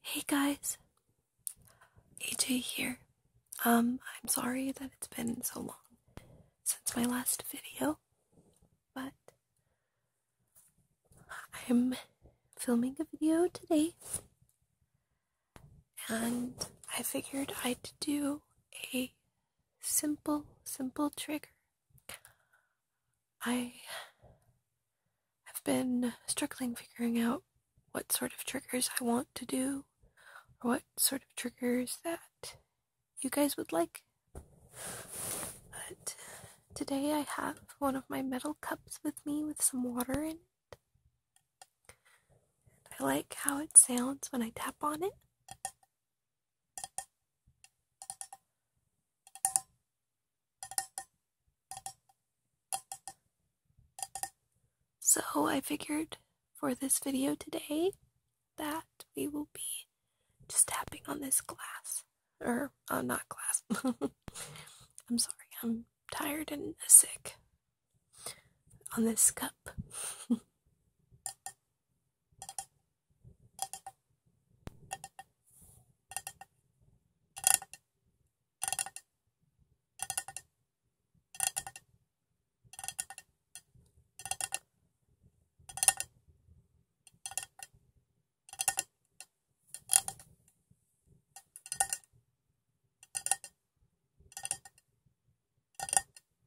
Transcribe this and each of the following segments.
Hey guys, AJ here. Um, I'm sorry that it's been so long since my last video, but I'm filming a video today and I figured I'd do a simple, simple trigger I have been struggling figuring out what sort of triggers I want to do, or what sort of triggers that you guys would like. But today I have one of my metal cups with me with some water in it. I like how it sounds when I tap on it. So I figured for this video today that we will be just tapping on this glass. Or, uh, not glass. I'm sorry, I'm tired and sick. On this cup.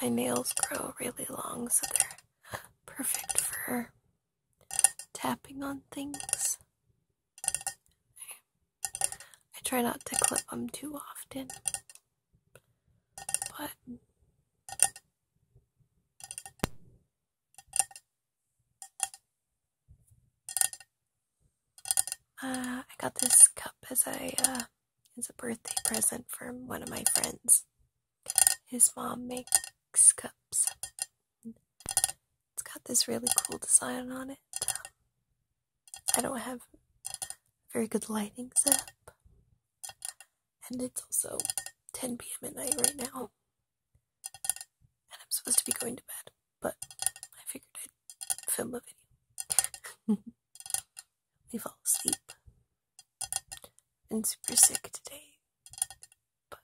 My nails grow really long, so they're perfect for tapping on things. I try not to clip them too often, but. Uh, I got this cup as a uh, as a birthday present from one of my friends. His mom makes cups. It's got this really cool design on it. I don't have very good lighting set And it's also 10 p.m. at night right now. And I'm supposed to be going to bed, but I figured I'd film a video. we fall asleep. I've been super sick today, but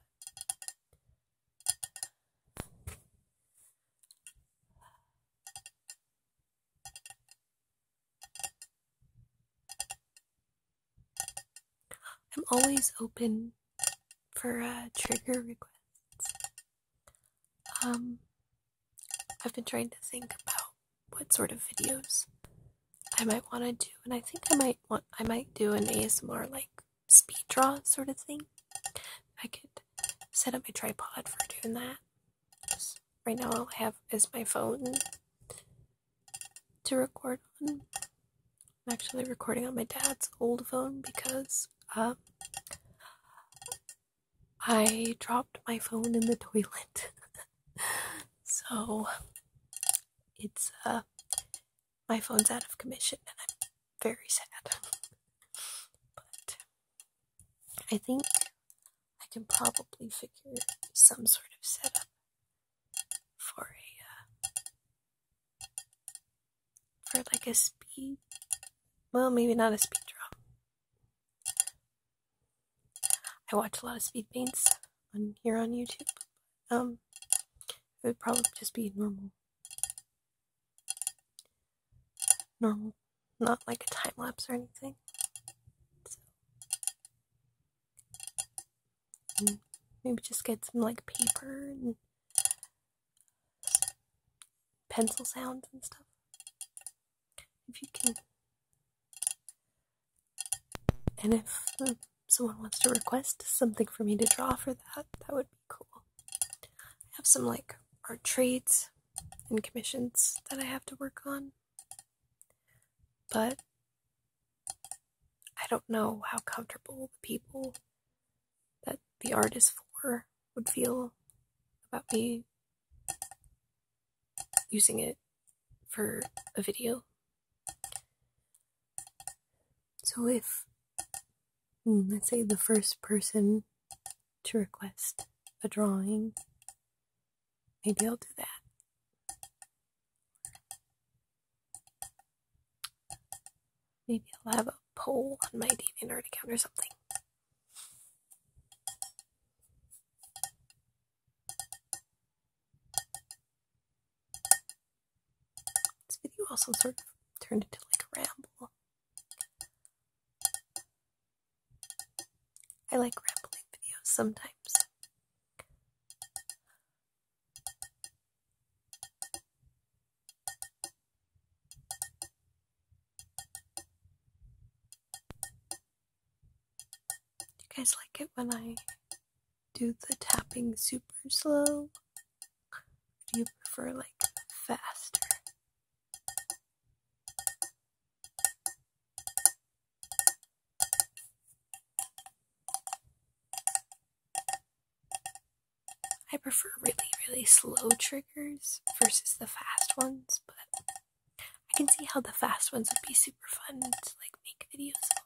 I'm always open for uh, trigger requests. Um, I've been trying to think about what sort of videos I might want to do, and I think I might want I might do an ASMR like speed draw sort of thing. I could set up my tripod for doing that. Right now, all I have is my phone to record on. I'm actually recording on my dad's old phone because um, I dropped my phone in the toilet. so it's uh, my phone's out of commission and I'm very sad. But I think I can probably figure some sort of setup for a uh, for like a speed well maybe not a speed draw. I watch a lot of speed paints on here on YouTube. Um it would probably just be normal normal, not like a time lapse or anything. Mm, maybe just get some like paper and pencil sounds and stuff. If you can. And if uh, someone wants to request something for me to draw for that, that would be cool. I have some like art trades and commissions that I have to work on, but I don't know how comfortable the people that the art is for would feel about me using it for a video. So if Hmm, let's say the first person to request a drawing. Maybe I'll do that. Maybe I'll have a poll on my DeviantArt account or something. This video also sort of turned into like a ramble. I like rambling videos sometimes. you guys like it when I do the tapping super slow? Do you prefer like faster? I prefer really, really slow triggers versus the fast ones, but I can see how the fast ones would be super fun to like make videos for.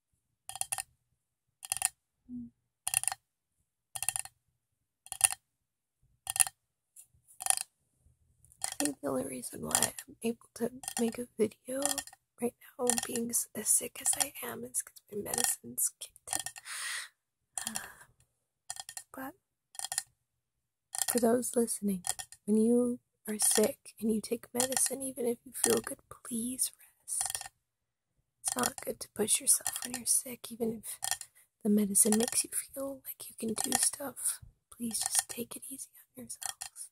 I think the only reason why I'm able to make a video right now, being as sick as I am, is because my medicines kicked but for those listening, when you are sick and you take medicine, even if you feel good, please rest. It's not good to push yourself when you're sick, even if the medicine makes you feel like you can do stuff. Please just take it easy on yourselves.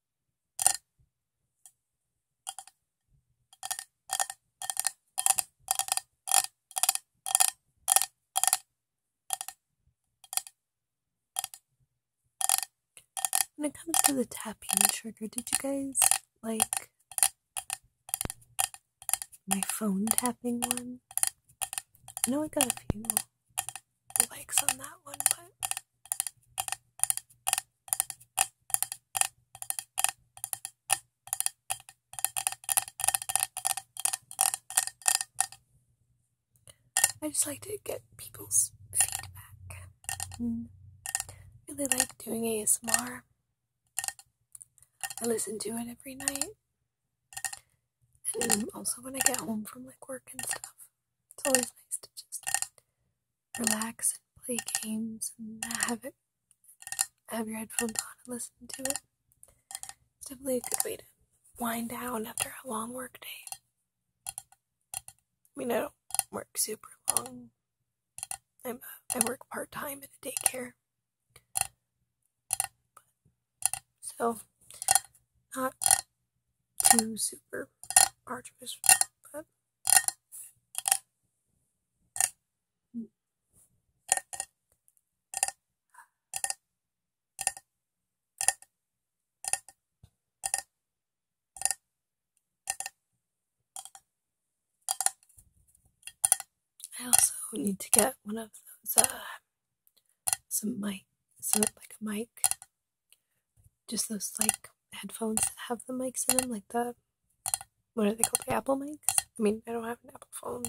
When it comes to the tapping trigger, did you guys like my phone tapping one? I know I got a few likes on that one, but I just like to get people's feedback. Mm. Really like doing ASMR. I listen to it every night. And also when I get home from like work and stuff. It's always nice to just relax and play games and have it have your headphones on and listen to it. It's definitely a good way to wind down after a long work day. I mean, I don't work super long. I'm a, I work part time at a daycare. so, not too super arduous, but I also need to get one of those uh, some mic some like a mic just those like headphones that have the mics in them, like the what are they called? The Apple mics? I mean, I don't have an Apple phone.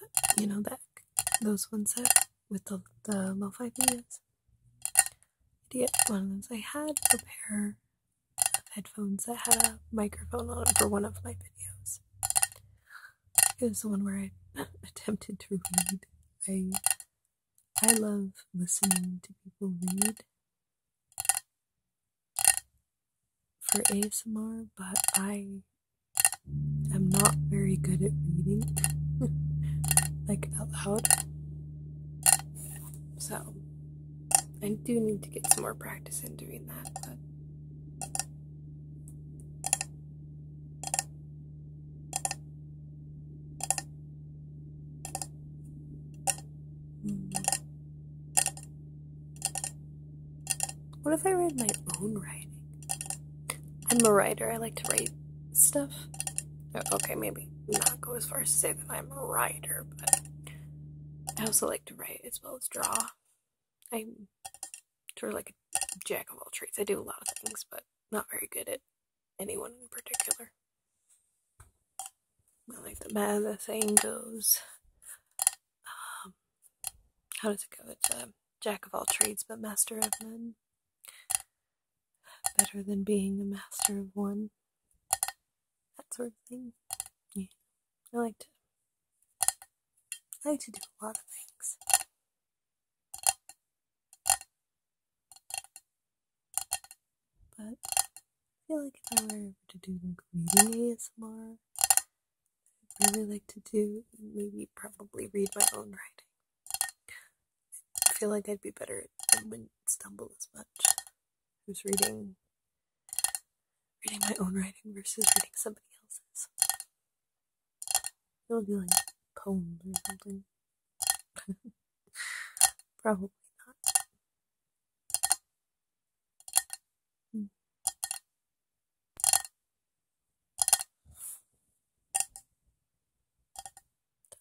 but, you know back those ones that with the the lo-fi videos. Idiot, one of those I had a pair of headphones that had a microphone on for one of my videos. It was the one where I attempted to read. I I love listening to people read for ASMR, but I am not very good at reading like out loud. So I do need to get some more practice in doing that, Hmm. What if I read my own writing? I'm a writer, I like to write stuff. Oh, okay, maybe not go as far as to say that I'm a writer, but I also like to write as well as draw. I'm sort of like a jack of all trades. I do a lot of things, but not very good at anyone in particular. I like the man, the saying goes, um, how does it go? It's a jack of all trades but master of none. Better than being a master of one. That sort of thing. I like to. I like to do a lot of things. But I feel like if I were to do like reading ASMR, I'd really like to do maybe probably read my own writing. I feel like I'd be better and wouldn't stumble as much. Who's reading reading my own writing versus reading somebody else's. It'll be like poems or something. Probably not. Hmm.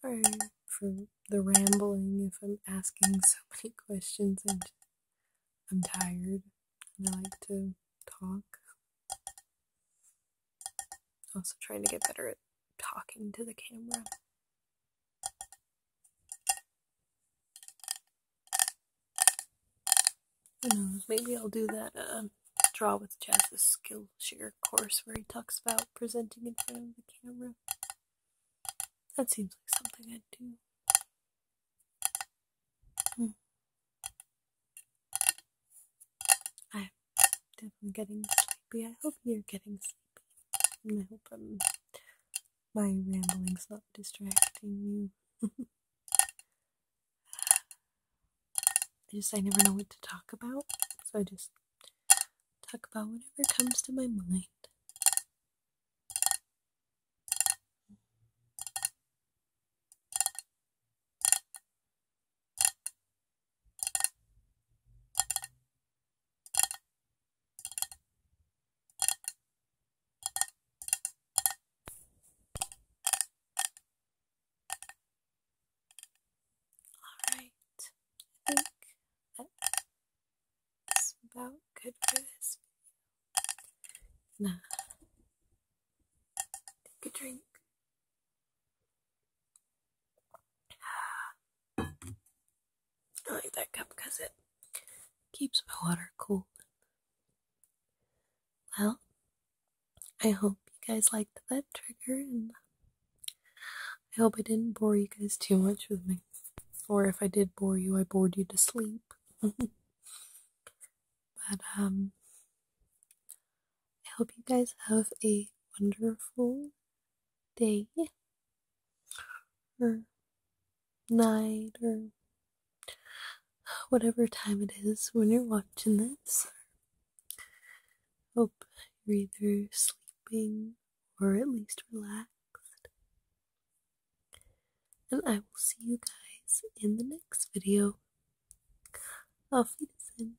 Sorry for the rambling if I'm asking so many questions. I'm, I'm tired and I like to talk. Also trying to get better at talking to the camera. Who knows, maybe I'll do that um, Draw with Jazz's Skillshare course where he talks about presenting in front of the camera. That seems like something I'd do. Hmm. I definitely getting sleepy. I hope you're getting sleepy. And I hope I'm. Um, my rambling's not distracting you. I just, I never know what to talk about. So I just talk about whatever comes to my mind. All right, I think that's about good for this video. Now, take a drink. I like that cup because it keeps my water cool. Well, I hope you guys liked that trigger, and I hope I didn't bore you guys too much with me. Or if I did bore you, I bored you to sleep. but, um, I hope you guys have a wonderful day or night or whatever time it is when you're watching this. Hope you're either sleeping or at least relaxed. And I will see you guys in the next video. Auf Wiedersehen.